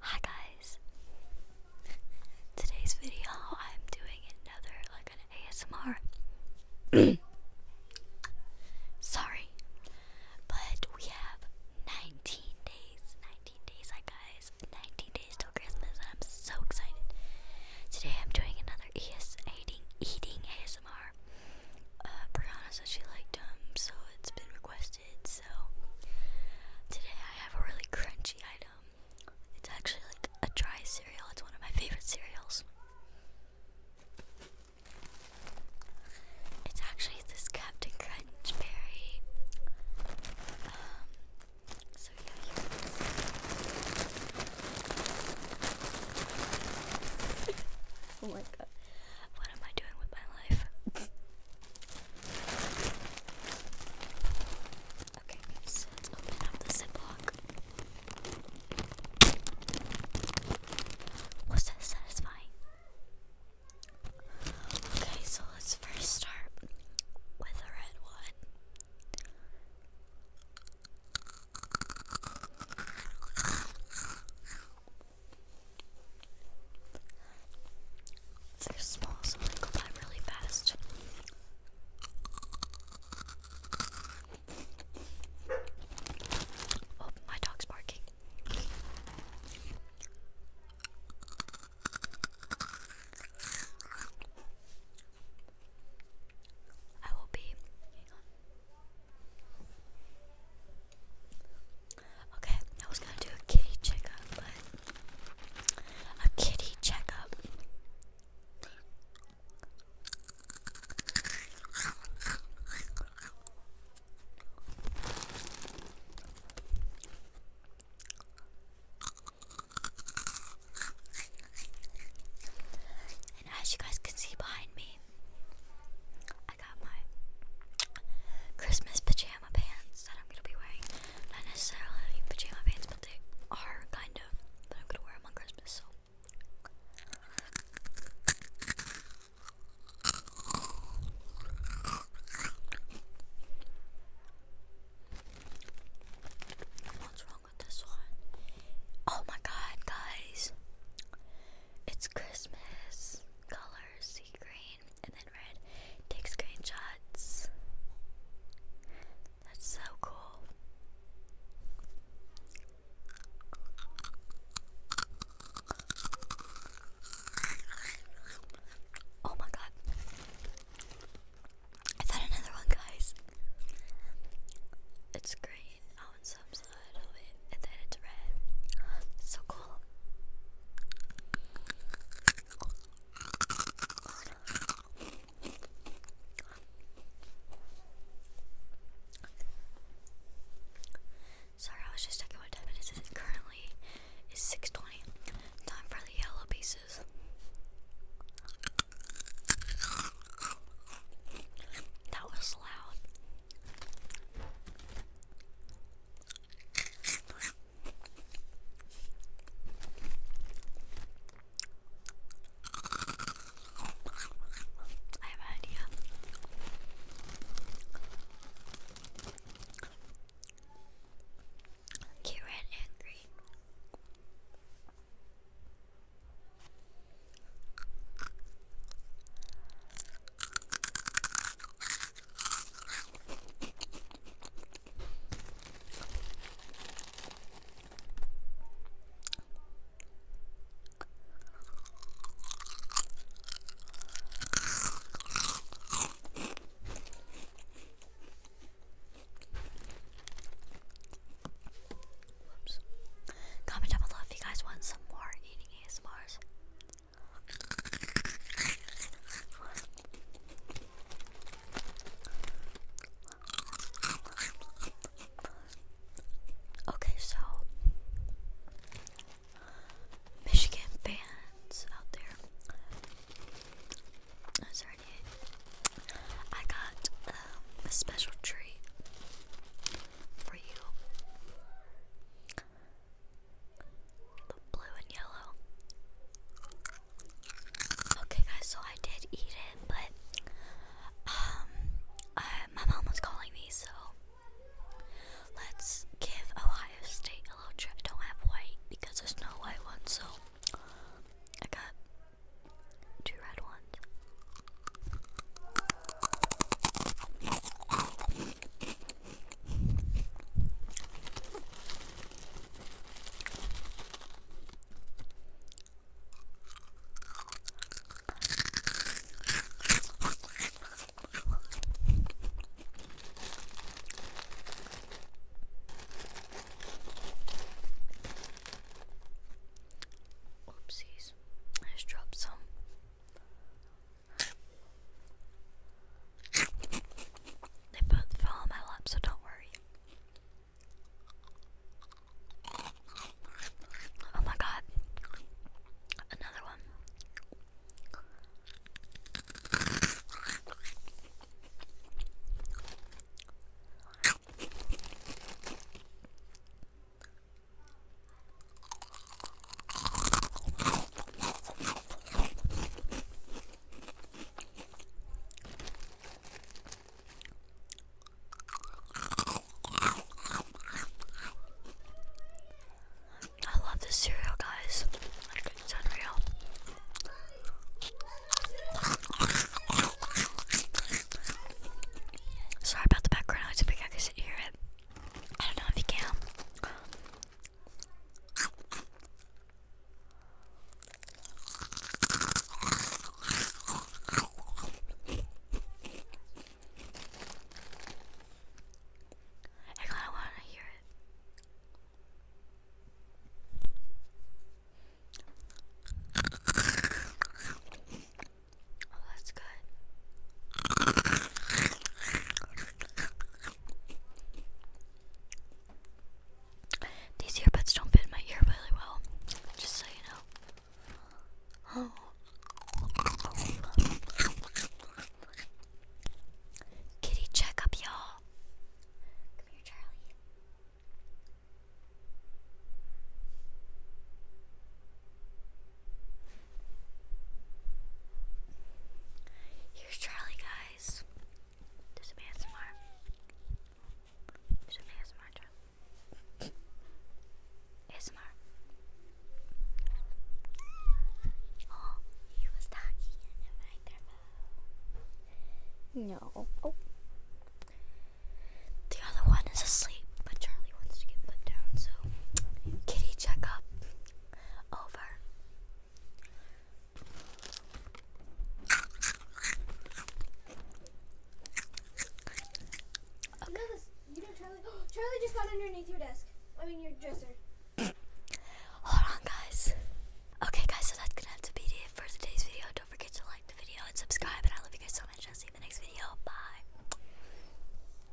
Hi guys. Today's video I'm doing another like an ASMR. Sorry. But we have 19 days. 19 days, hi guys. 19 days till Christmas and I'm so excited. Today I'm doing another ES eating eating uh, Brianna said she liked them, so it's been requested. So today I have a really crunchy item. It's actually like a dry cereal. It's one of my favorite cereals. It's actually this Captain Crunch berry. Um, oh my god. What am I doing with my life? Okay, so let's open up the ziplock. Was that satisfying? Okay, so let's first start with a red one. They're small, so they go by really fast. Oh, my dog's barking. I will be. Okay, I was gonna do a kitty checkup, but a kitty checkup. And as you guys can see behind me, got my Christmas pajama pants that I'm gonna be wearing. Not necessarily pajama pants, but they are kind of. But I'm gonna wear them on Christmas, so. What's wrong with this one? Oh my god, guys. It's Christmas. Color green and then red. Take screenshots. That's so cool. Oh my god. I found another one, guys. It's green. Oh, a little bit, and then it's red. So cool. Sorry, I was just checking what time it is. currently is 6:20. Time for the yellow pieces. That was loud. I have an idea. red and Comment down below if you guys want some more eating ASMRs. Okay, so Michigan fans out there. Sorry, I got um, a special treat for you blue and yellow. Okay, guys, so I did eat it, but um, uh, my mom was calling me, so let's give Ohio State a little trick. I don't have white because there's no white one, so I got two red ones. Oopsies, I just dropped some they both fell on my lap, so don't worry. Oh my god. Another one. I love this cereal, guys. Like, it's unreal. Sorry about the background noise I can sit hear it. I don't know if you can. I kind of want to hear it. Oh, that's good. These earbuds don't fit my ear really well, just so you know. Oh. Kitty checkup, y'all. Come here, Charlie. Here's Charlie, guys. Do some ASMR. Do some ASMR, Charlie. ASMR. Oh, he was talking in the microphone. No. Oh. The other one is asleep, but Charlie wants to get put down, so kitty check up over. Charlie just got underneath your desk. I mean your dresser. Hold on, guys. Okay, guys, so that's gonna have to be it for today's video. Don't forget to like the video and subscribe. And I love you guys so much. I'll see you in the next video. Bye.